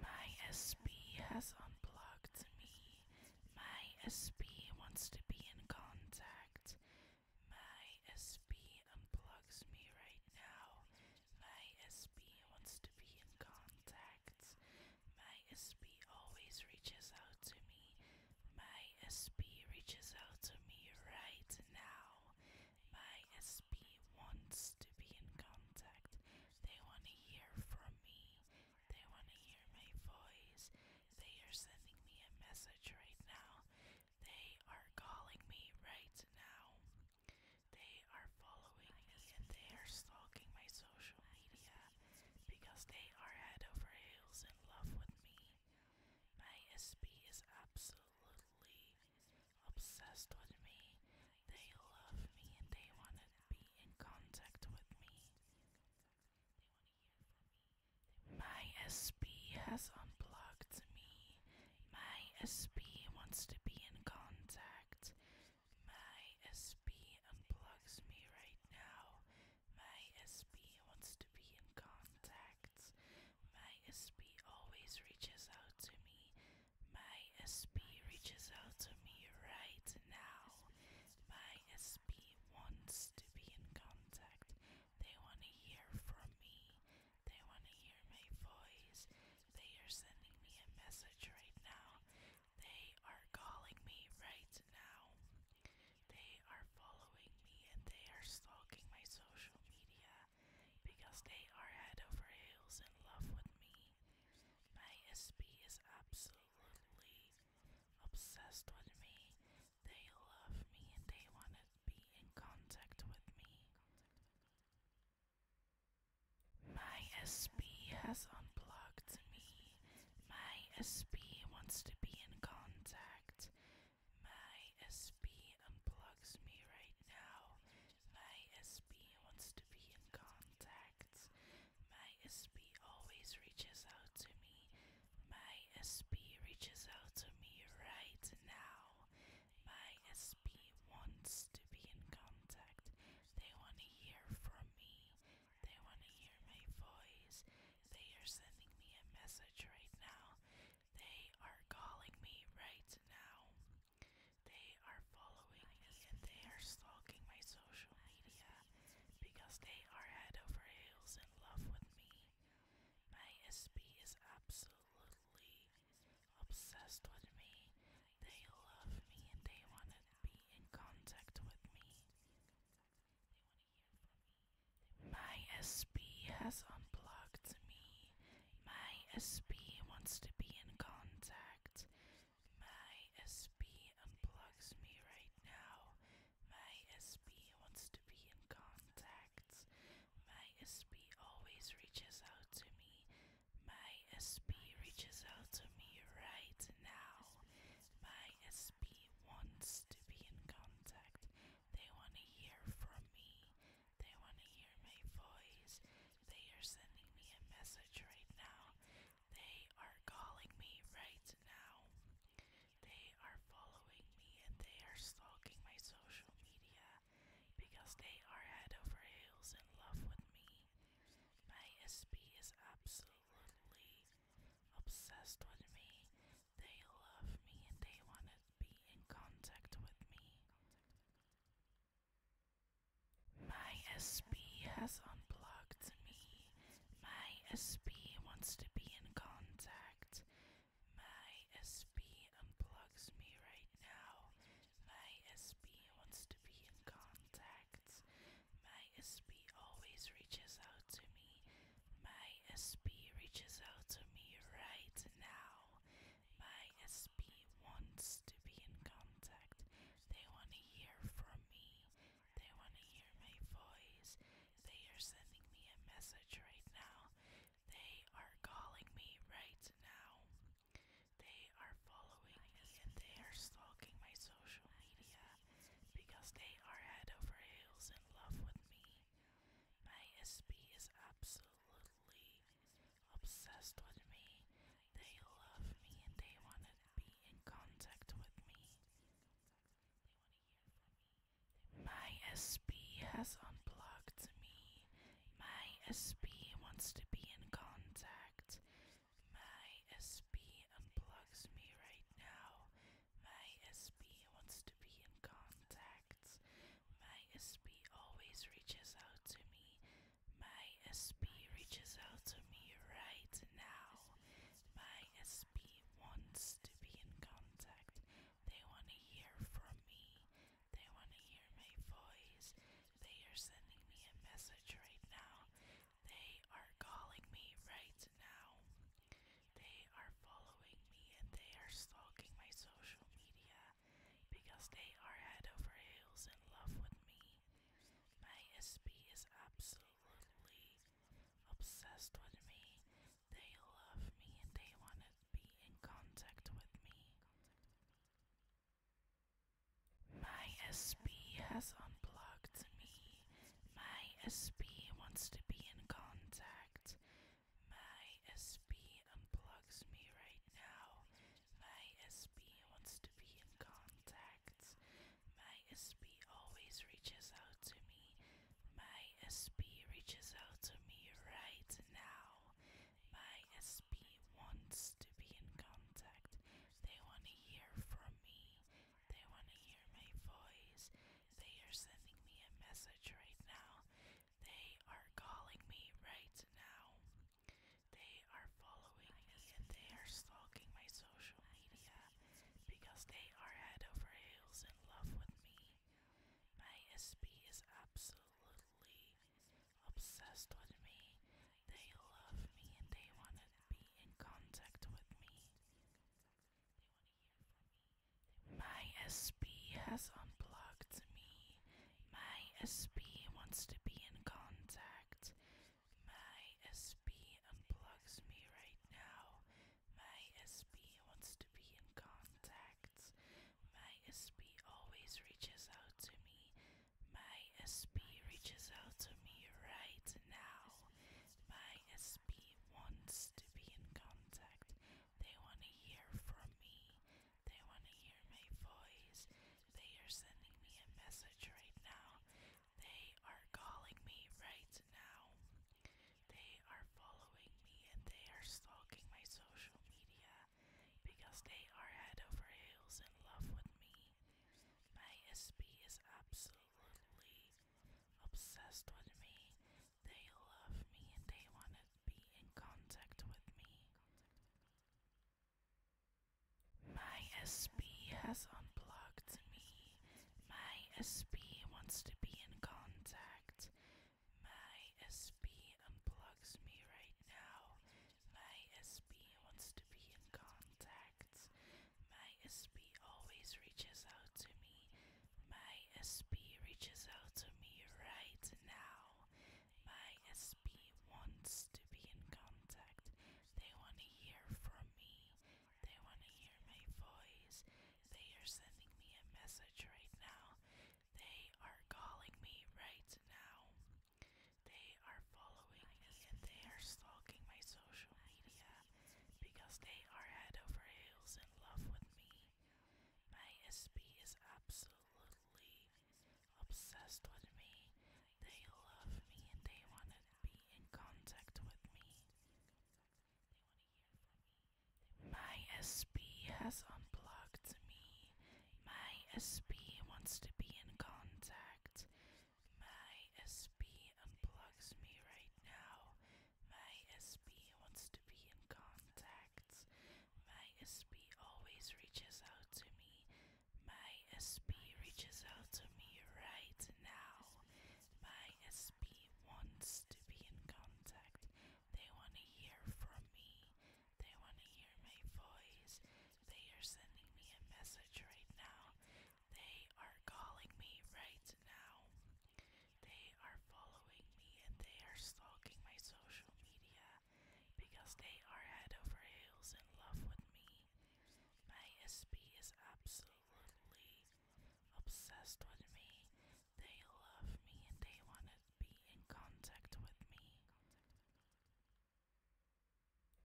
My SP has unblocked me. My SP wants to be in contact. My SP unplugs me right now. My SP wants to be in contact. My SP always reaches out to me. My SP reaches out to me right now. My SP wants to be in contact. They want to hear from me. They want to hear my voice. They are sending me a message right now. They are calling me right now. They are following me and they are stalking my social media because they are head over heels in love with me. My SP is absolutely obsessed with me. They love me and they want to be in contact with me. My SP has unblocked me. My SP wants to be in contact. My SP unblocks me right now. My SP wants to be in contact. My SP always reaches out to me. My SP reaches out to me right now. My SP wants to be in contact. They want to hear from me. They want to hear my voice. They are sending me a message right now. They are calling me right now. They are following me and they are stalking my social media because they are head over heels in love with me. My SP is absolutely obsessed with me. They love me and they want to be in contact with me. My SP has unplugged me. My SP wants to be in contact. My SP unplugs me right now my SP wants to be in contact. My SP always reaches out to me. My SP reaches out to me right now. My SP wants to be in contact. They want to hear from me. They want to hear my voice. They are sending me a message right now. They are calling me right now. They are following me and they are stalking my social media because they are head over heels in love with me. My SP is absolutely obsessed with me. They love me and they want to be in contact with me. My SP has unblocked me my SB wants to be in contact. My SB unplugs me right now. My SB wants to be in contact. My SB always reaches out to me. My SB reaches out to me right now. My SB wants to be in contact. They want to hear from me. They want to hear my voice. They are sending me a message right now. They are calling me right now. They are following me and they are stalking my social media because they are head over heels in love with me. My SP is absolutely obsessed with me. They love me and they want to be in contact with me. My SP has unblocked me. My SP wants to be in contact. My SP unplugs me right now. My SP wants to be in contact. My SP always reaches out to me. My SP reaches out to me right now. My SP wants to be in contact. They want to hear from me. They want to hear my voice. They are sending me a message right now. They are calling me right now. They are following me and they are stalking my social media because they are head over heels in love with me. My SB is absolutely obsessed with me. They love me and they want to be in contact with me. My SB has unplugged me. My SB wants to be in contact. My SB unplugs me right now my SP wants to be in contact. My SP always reaches out to me. My SP reaches out to me right now. My SP wants to be in contact. They want to hear from me. They want to hear my voice. They are sending me a message right now. They are calling me right now. They are following me and they are stalking my social media because they are head over heels in love with me. My SP is absolutely obsessed with me. They love me and they want to be in contact with me. My SP has unblocked me. My SP wants to be in contact my SB unplugs me right now. My SB wants to be in contact. My SB always reaches out to me. My SB reaches out to me right now. My SB wants to be in contact. They want to hear from me. They want to hear my voice. They are sending me a message right now. They are calling me right now. They are following me and they are stalking my social media because they are head over heels in love with me. My SP is absolutely obsessed with me. They love me and they want to be in contact with me. My SP has unblocked me. My SP wants to be in contact. My SP unblocks me right now. My SP wants to be in contact. My SP always reaches out to me. My SP reaches out to me right now. My SP wants to be in contact. They want to hear from me. They want to hear my voice. They are sending me a message right now. They are calling me right now. They are following me and they are stalking my social media because they are head over heels in love with me. My SP is absolutely obsessed with me. They love me and they want to be in contact with me. My SP has unblocked me. My SP wants to be in contact. My SP unblocks me right now. My SP wants to be in contact. My SP always reaches out to me. My SP reaches out to me right now. My SP wants to be in contact. They want to hear from me. They want to hear my voice. They are sending me a message right now. They are calling me right now. They are following me and they are stalking my social media because they are head over heels in love with me. My SB is absolutely obsessed with me. They love me and they want to be in contact with me. My SB has unblocked me. My SB wants to be in contact. My SP unplugs me right now. My SP wants to be in contact. My SP always reaches out to me. My SP reaches out to me right now. My SP wants to be in contact. They want to hear from me. They want to hear my voice. They are sending me a message right now. They are calling me right now. They are following me and they are stalking my social media because they are head over heels in love with me. My SP is absolutely obsessed with me. They love me and they want to be in contact with me.